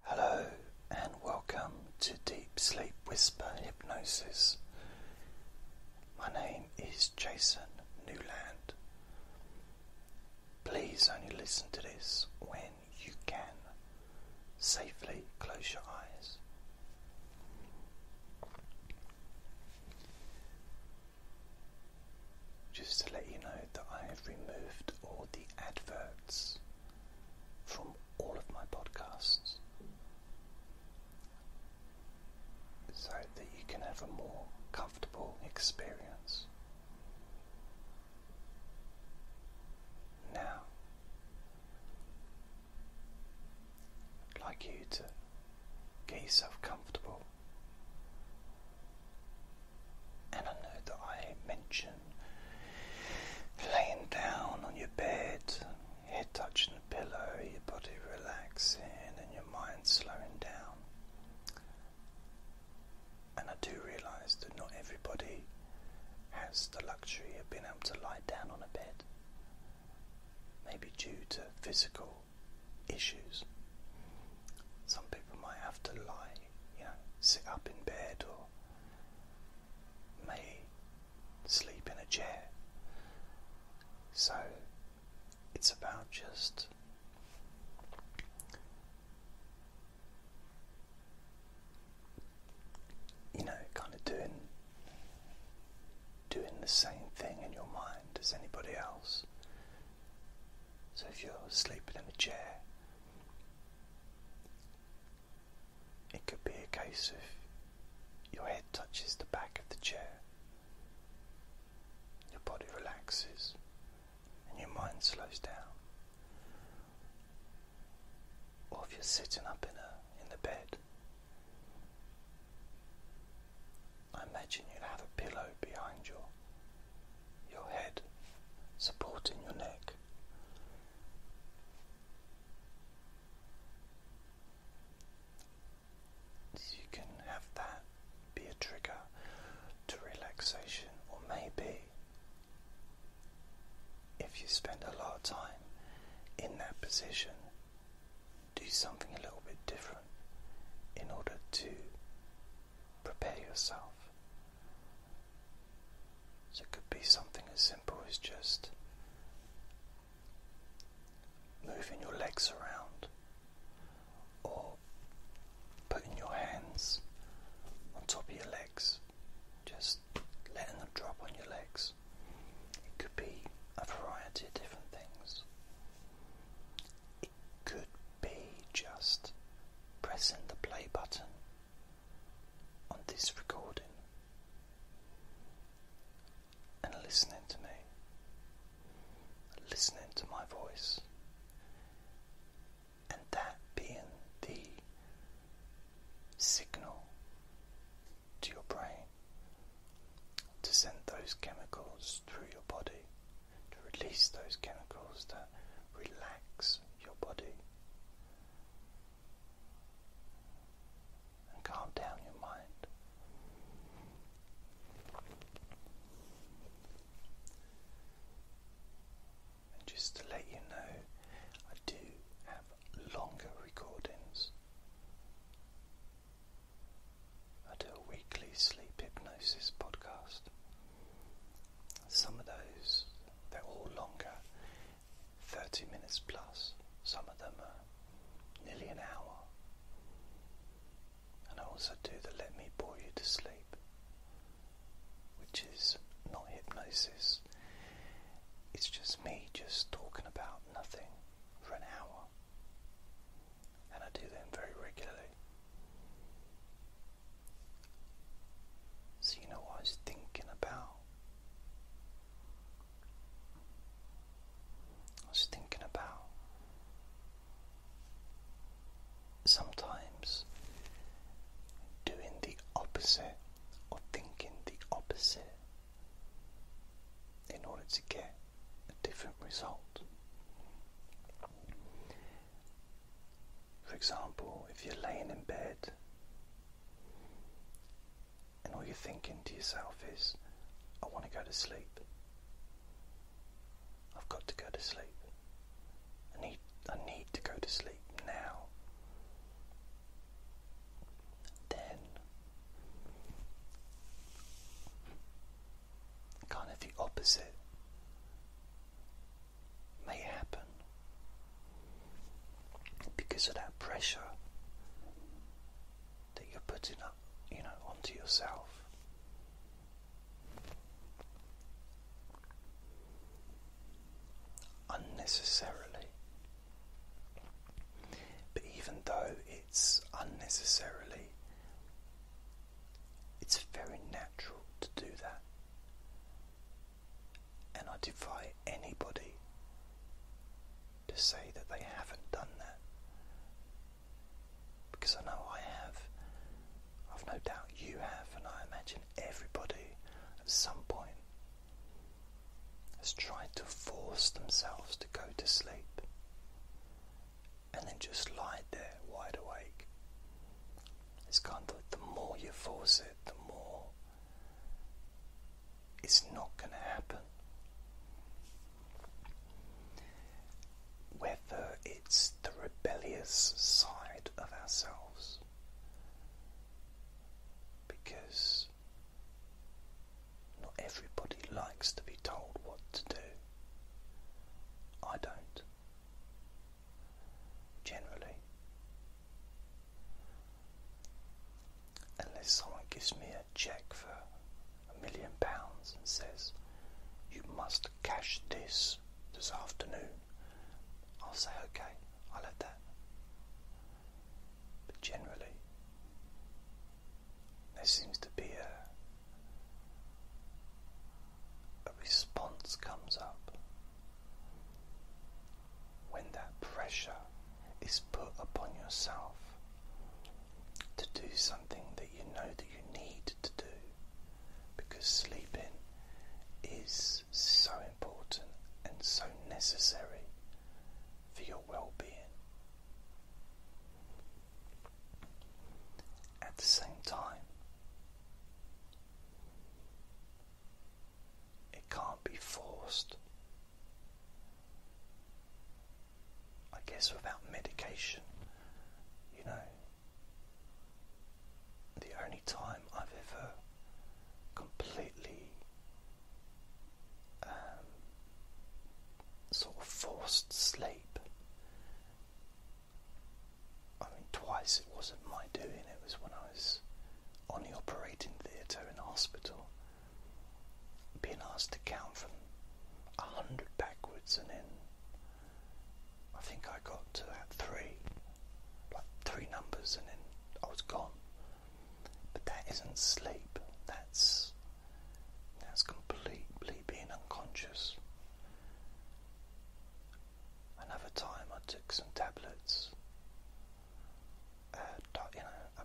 Hello and welcome to Deep Sleep Whisper Hypnosis. My name is Jason Newland. Please only listen to this when you can. Safely close your eyes. Just to let you know that I have removed all the adverts from all of my podcasts so that you can have a more comfortable experience. Now, I'd like you to get yourself comfortable and I know that I mention laying down on your bed, head touching the pillow, your body relaxing, and your mind slowing down. And I do realise that not everybody has the luxury of being able to lie down on a bed, maybe due to physical issues. Some people might have to lie, you know, sit up in bed or may sleep in a chair. So it's about just you know, kind of doing doing the same thing in your mind as anybody else. So if you're sleeping in a chair, it could be a case of your head touches the back of the chair, your body relaxes, and your mind slows down. Or if you're sitting up in a in the bed, I imagine you would have a pillow behind you your head, supporting your neck. You can have that be a trigger to relaxation, or maybe if you spend a lot of time in that position, do something a little bit different in order to prepare yourself. So it could be something as simple as just moving your legs around or putting your hands on top of your legs, just letting them drop on your legs. It could be a variety of different things. It could be just pressing the play button on this recording and listening to me, listening to my voice, and that being the signal to your brain to send those chemicals through your body, to release those chemicals that relax your body and calm down your mind. And just to let you know, I do have longer recordings. I do a weekly sleep hypnosis podcast some of those, they're all longer, 30 minutes plus. Some of them are nearly an hour. And I also do the Let Me Bore You to Sleep, which is not hypnosis, it's just me just talking about nothing for an hour. And I do them very regularly. So, you know what I was thinking about? I was thinking about sometimes doing the opposite or thinking the opposite in order to get a different result. For example, if you're laying in bed and all you're thinking to yourself is, I want to go to sleep. I've got to go to sleep. I need, I need to go to sleep now. Then, kind of the opposite may happen because of that pressure that you're putting up, you know, onto yourself. Unnecessarily, but even though it's unnecessarily, it's very natural to do that. And I defy anybody to say that they haven't done that. Because I know I have. I've no doubt you have, and I imagine everybody at some point has tried to force themselves to go to sleep and then just lied there wide awake, it's kind of the more you force it, the more it's not going to happen. Whether it's the rebellious side of ourselves, because not everybody likes to be told what to do. I don't generally. Unless someone gives me a check for a million pounds and says, You must cash this this afternoon, I'll say, Okay, I'll have that. But generally, there seems to be a a response comes up when that pressure is put upon yourself to do something that you know that you need to do because sleeping is so important and so necessary for your well-being at the same time it can't be forced. I guess without medication, you know, the only time I've ever completely um, sort of forced sleep I mean, twice it wasn't my doing, it was when I was on the operating theatre in hospital, being asked to count from 100 backwards, and then I think I got to that three, like three numbers, and then I was gone. But that isn't sleep, that's that's completely being unconscious. Another time I took some tablets, uh, you know,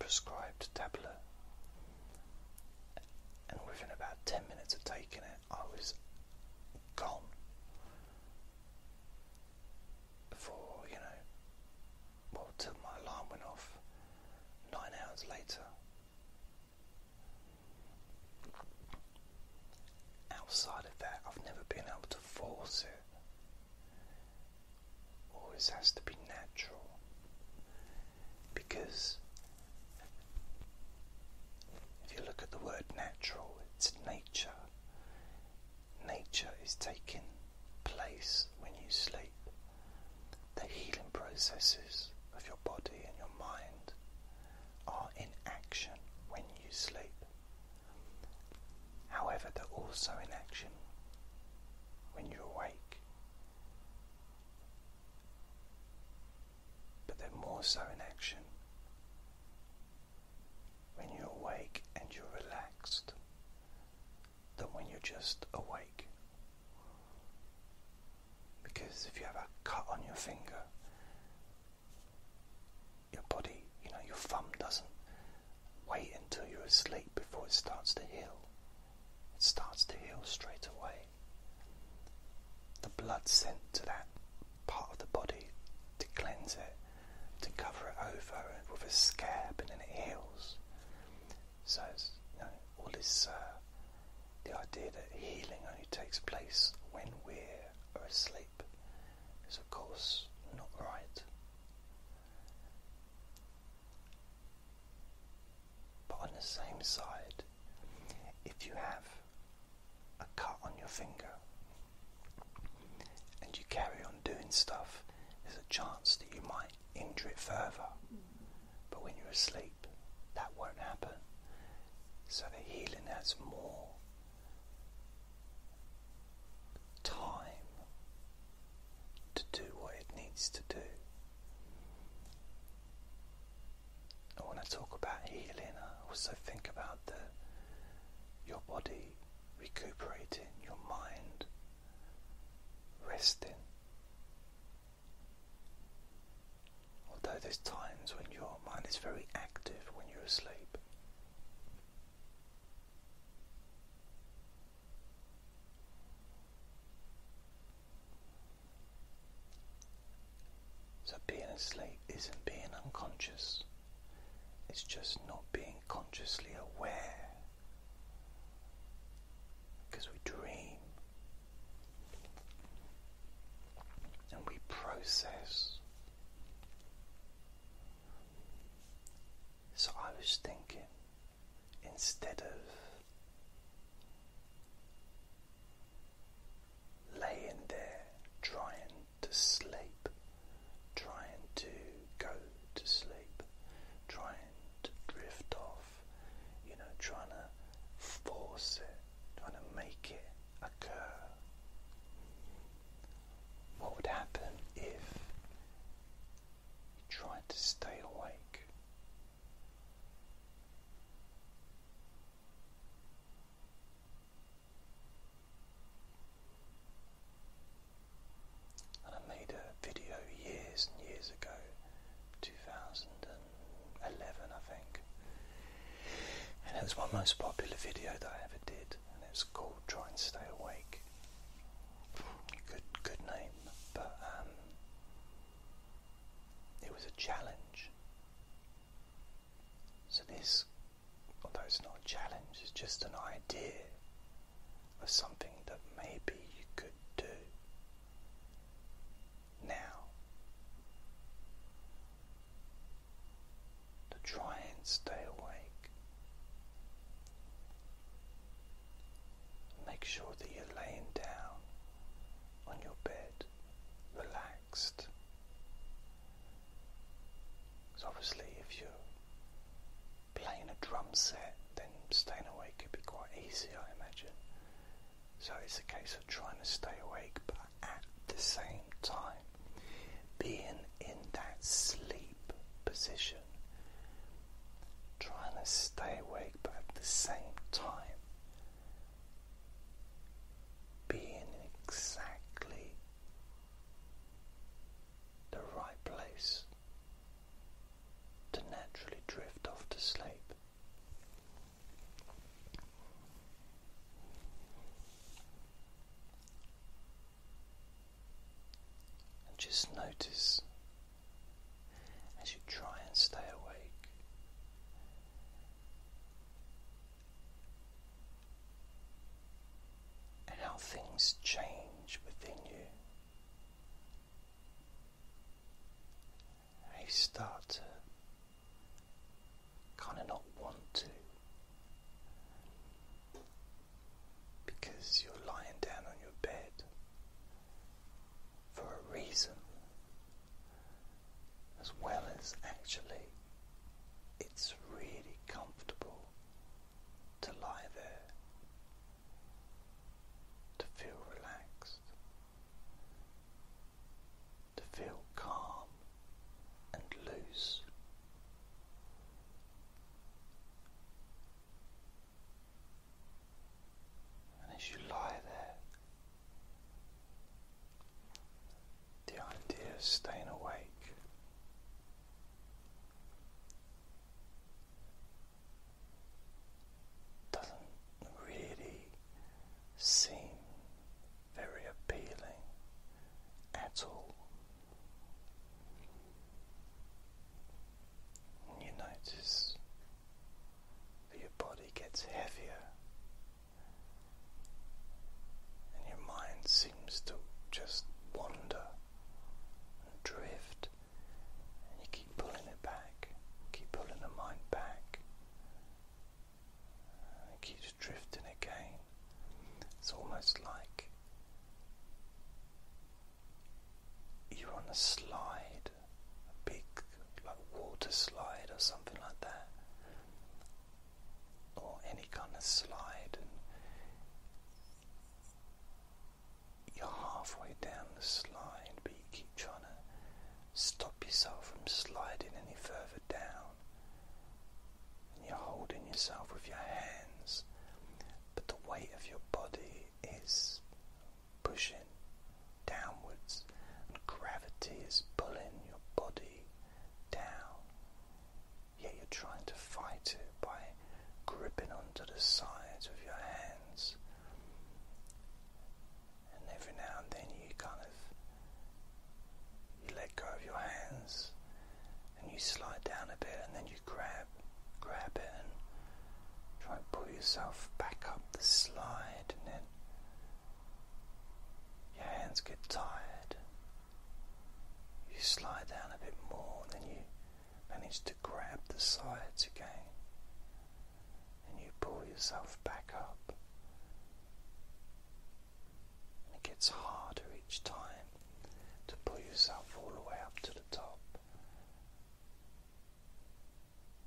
prescribed tablet, and within about 10 minutes of taking it, I was gone for, you know, well, till my alarm went off nine hours later. Outside of that, I've never been able to force it. Always has to be natural because if you look at the word natural, it's nature. Nature is taking place when you sleep. The healing processes of your body and your mind are in action when you sleep. However, they're also in action when you're awake. But they're more so in action when you're awake and you're relaxed than when you're just awake because if you have a cut on your finger, your body, you know, your thumb doesn't wait until you're asleep before it starts to heal. It starts to heal straight away. The blood sent to that part of the body to cleanse it, to cover it over with a scab, and then it heals. So, you know, all this uh, the idea that healing only takes place when we're asleep is, of course, not right. But on the same side, if you have a cut on your finger and you carry on doing stuff, there's a chance that you might injure it further. But when you're asleep, that won't happen. So the healing has more time to do what it needs to do. I want to talk about healing, I also think about the your body recuperating, your mind resting, Although there's times when your mind is very active when you're asleep. So being asleep isn't being unconscious, it's just not being consciously aware. Because we dream and we process. So I was thinking instead of laying there trying to sleep, trying to go to sleep, trying to drift off you know, trying to force it, trying to make it occur. What would happen if you tried to stay awake? And I made a video years and years ago, 2000. And 11, I think. it was my most popular video that I ever did, and it's called Try and Stay Awake. Good, good name, but um, it was a challenge. So, this, although it's not a challenge, it's just an idea of something that maybe you could do now, to try and stay awake, make sure that you're laying down on your bed, relaxed. So, obviously, if you're playing a drum set, then staying awake could be quite easy, I imagine. So it's a case of trying to stay awake, but at the same time, being in that sleep position, trying to stay awake, but at the same time, being exactly the right place to naturally drift off to sleep just notice as you try and stay awake how things change within you and you start to kind of not want to because you're lying down on your bed for a reason as well as actually it's really comfortable to lie there to feel relaxed to feel calm and loose. And as you lie there, the idea of staying awake doesn't really seem very appealing at all. And you notice that your body gets heavier and your mind seems to just wander and drift, and you keep pulling it back, keep pulling the mind back. It keeps drifting again. It's almost like you're on a slide, a big like water slide or something like that, or any kind of slide, and you're halfway down the slide, but you keep trying to stop yourself from sliding any further down. And you're holding yourself with your hands, but the weight of your body is pushing downwards, and gravity is pulling your body down. Yet you're trying to fight it by gripping onto the sides with your hands and every now and then you kind of you let go of your hands and you slide down a bit and then you grab grab it and try and pull yourself back up the slide and then your hands get tired you slide down a bit more and then you manage to grab the sides again and you pull yourself back up. And it gets harder each time to pull yourself all the way up to the top.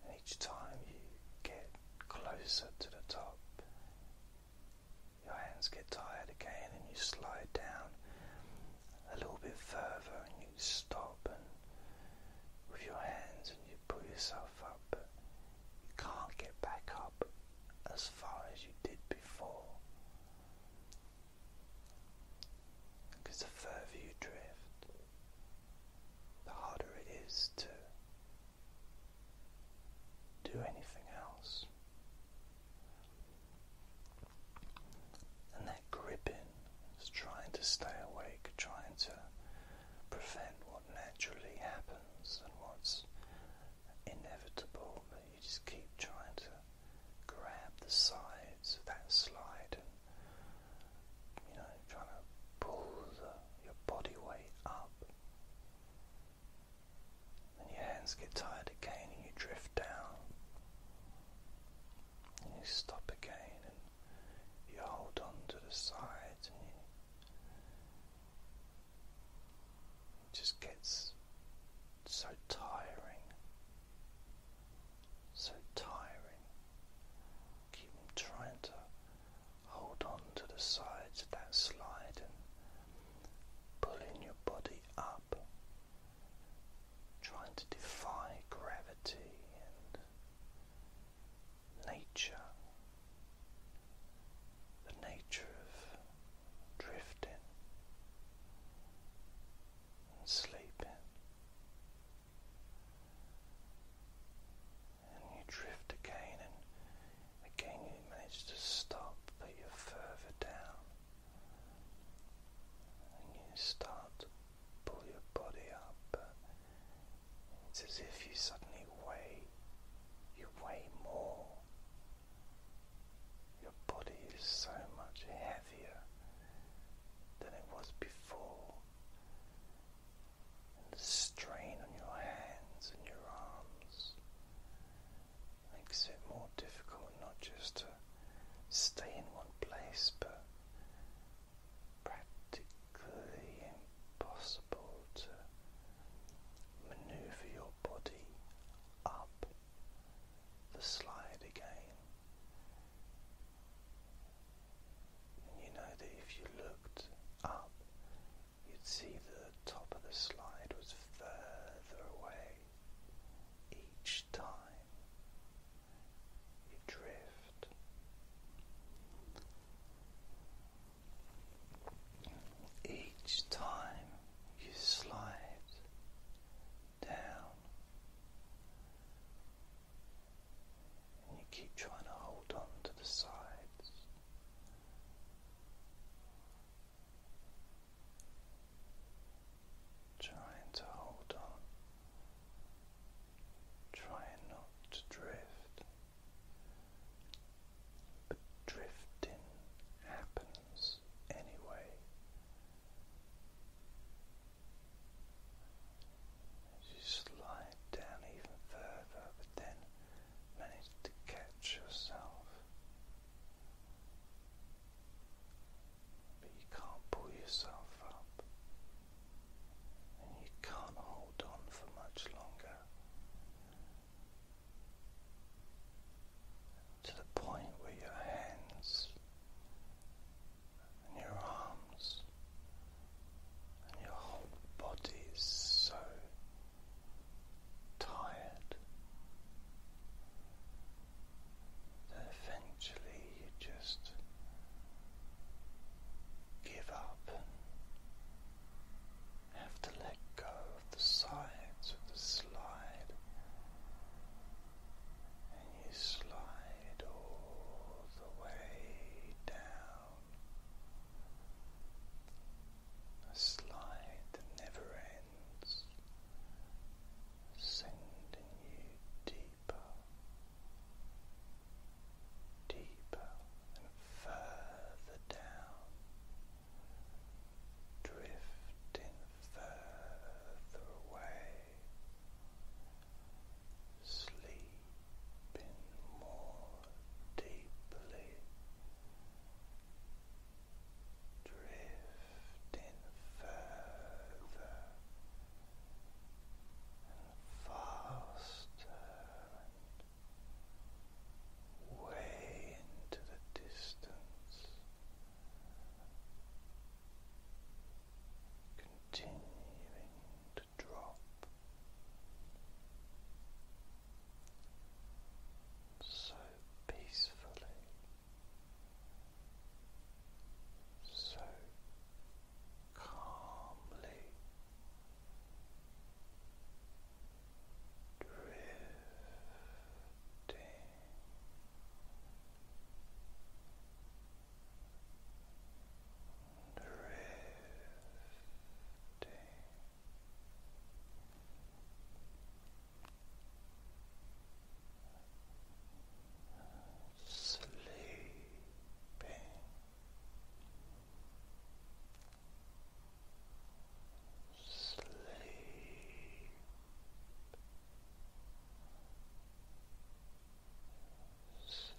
And each time you get closer to the top, your hands get tired again and you slide down a little bit further and you stop and with your hands and you you pull yourself up, you can't get back up as far as you did before. Because the further you drift, the harder it is to do anything else. And that gripping it's trying to stay awake, trying to prevent what naturally happens and what's inevitable, but you just keep trying to grab the sides of that slide and you know, trying to pull your body weight up. And your hands get tired again and you drift down. And you stop again you hold on to the sides and it just gets so tiring, so tiring. Keep trying to hold on to the sides of that slide and pulling your body up, trying to defy gravity and nature, the nature of drifting and sleeping, and you drift again and again you manage to stop, but you're further down, and you start pull your body up. It's as if you suddenly weigh, you weigh more. Your body is so much heavier than it was before. And the strain on your hands and your arms makes it more difficult not just to stay in one place but practically impossible to maneuver your body up the slide again. And you know that if you looked up, you'd see the top of the slide was further away each time. You drift each time you slide down, you keep trying to hold on to the sides. Trying to hold on trying not to drift, but drifting happens anyway. you slide down even further, but then manage to catch yourself. But you can't pull yourself up you can't hold on for much longer to the point where your hands and your arms and your whole body is so tired that eventually you just give up and have to let go of the sides of the slide, and you slide all the way down. A slide that never ends, sending you deeper deeper and further down, drifting further away, sleeping more deeply, drifting further faster way into the distance. Continuing to drop so peacefully, so calmly drifting. Drifting sleeping. Sleep. Sleep. Sleep.